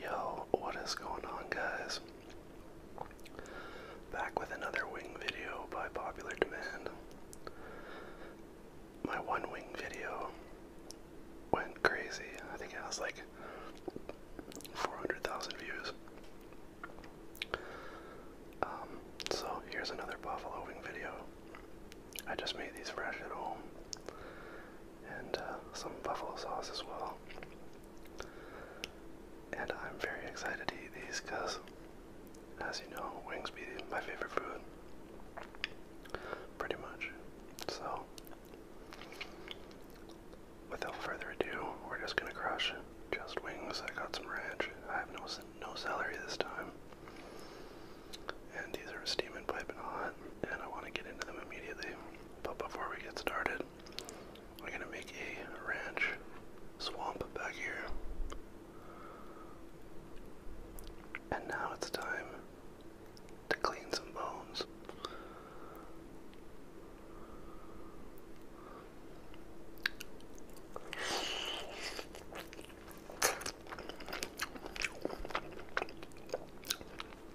Yo, what is going on, guys? Back with another wing video by popular demand. My one wing video went crazy. I think it was like 400,000 views. Um, so here's another buffalo wing video. I just made these fresh at home and uh, some buffalo sauce as well. And I'm very excited to eat these because, as you know, wings be my favorite food, pretty much. So, without further ado, we're just gonna crush just wings. I got some ranch. I have no no celery this time, and these are steaming, piping hot, and I want to get into them immediately. But before we get started, we're gonna make a ranch swamp back here. And now it's time to clean some bones.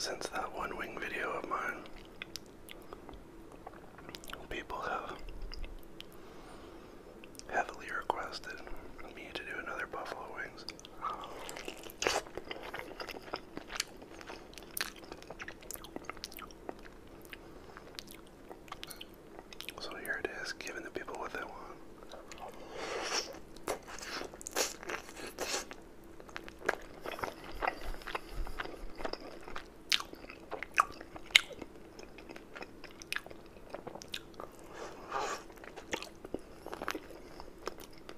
Since that one wing video of mine, people have heavily requested me to do another buffalo wings. So here it is, giving the people what they want.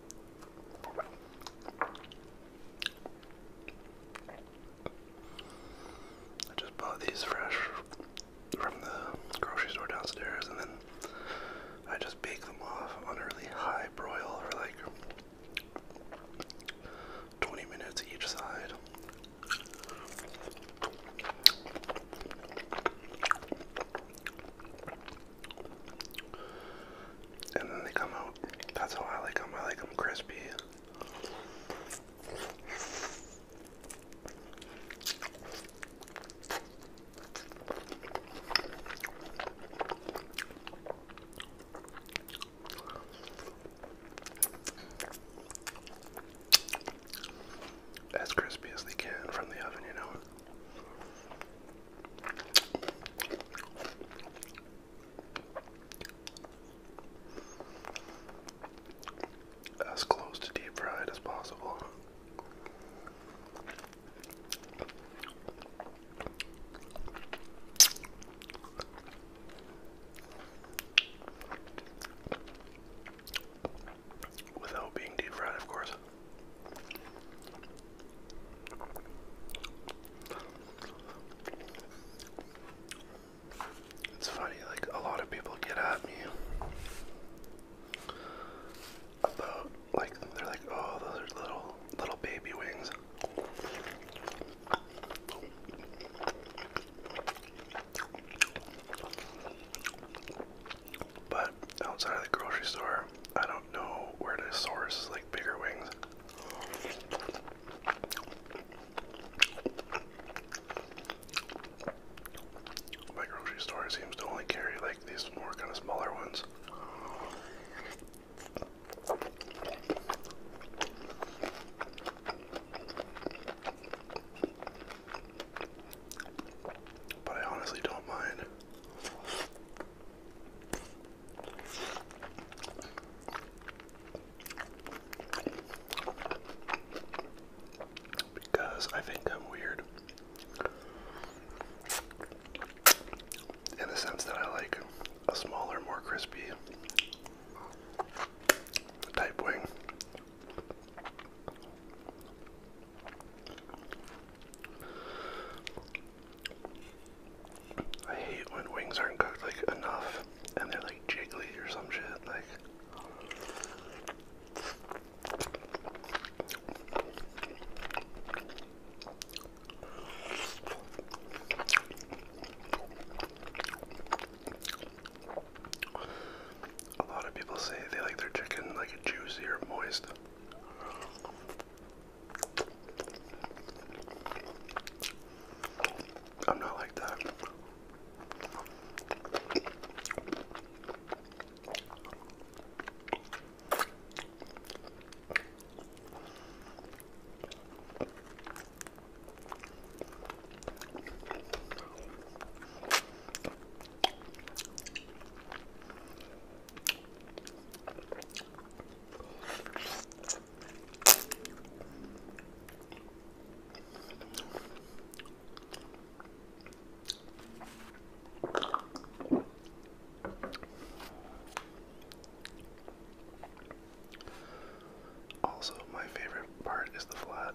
I just bought these fresh from the grocery store downstairs, and then I just bake them off on really high broil for like 20 minutes each side. And then they come out. That's how I like them. I like them crispy. As crispy as they can from the oven, you know. As close to deep fried as possible. Without being deep fried, of course. It's funny, like a lot of people get at me about like they're like, oh those little little baby wings. But outside of the grocery store, I don't know where to source like bigger wings. My grocery store seems to only carry like these more kind of smaller ones but I honestly don't mind. Because I think I'm weird in the sense that I like a smaller, more crispy type wing. I hate when wings aren't cooked like enough and they're like jiggly or some shit like a lot of people say they like their chicken like juicy or moist. I'm not like that. Also, my favorite part is the flat.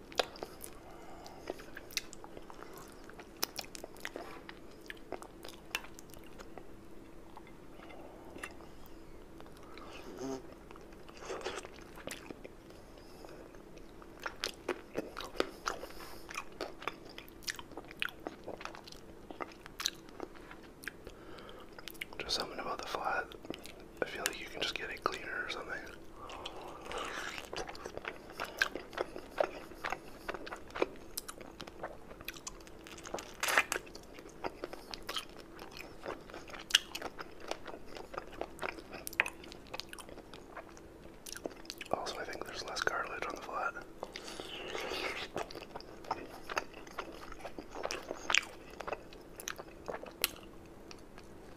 Just something about the flat. I feel like you can just get it cleaner or something. Also, I think there's less cartilage on the flat.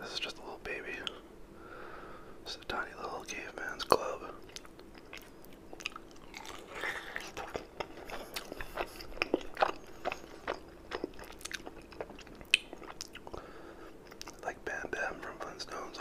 This is just a little baby. It's a tiny little caveman's club. Like Bam Bam from Flintstones.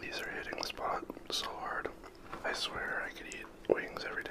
These are hitting the spot so hard. I swear I could eat wings every day.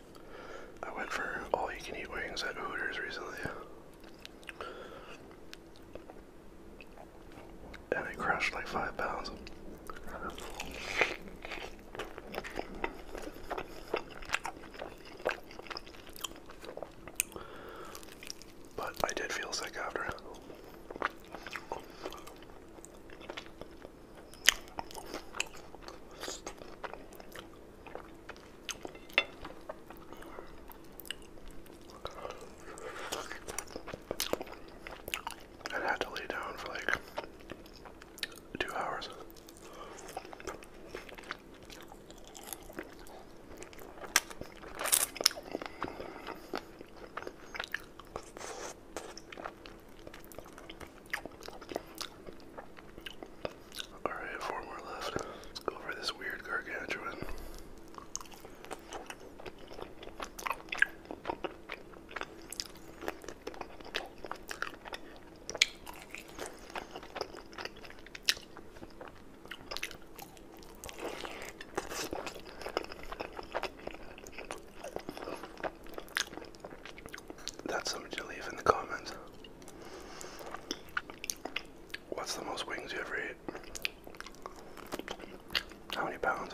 I went for all you can eat wings at Hooters recently. And I crushed like five pounds. But I did feel sick after. I had to lay down for like two hours. Alright, four more left. Let's go for this weird gargantuan. That's something to leave in the comments. What's the most wings you ever ate? How many pounds?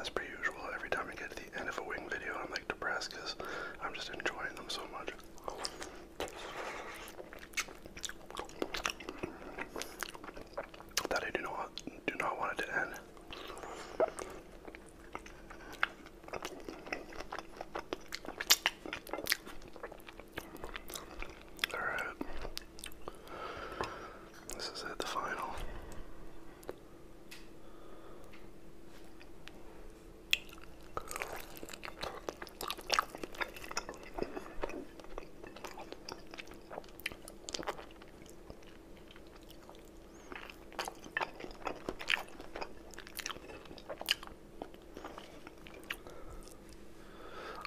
As per usual, every time I get to the end of a wing video, I'm like depressed because I'm just enjoying them so much. That I do not do not want it to end. All right. This is it, the final.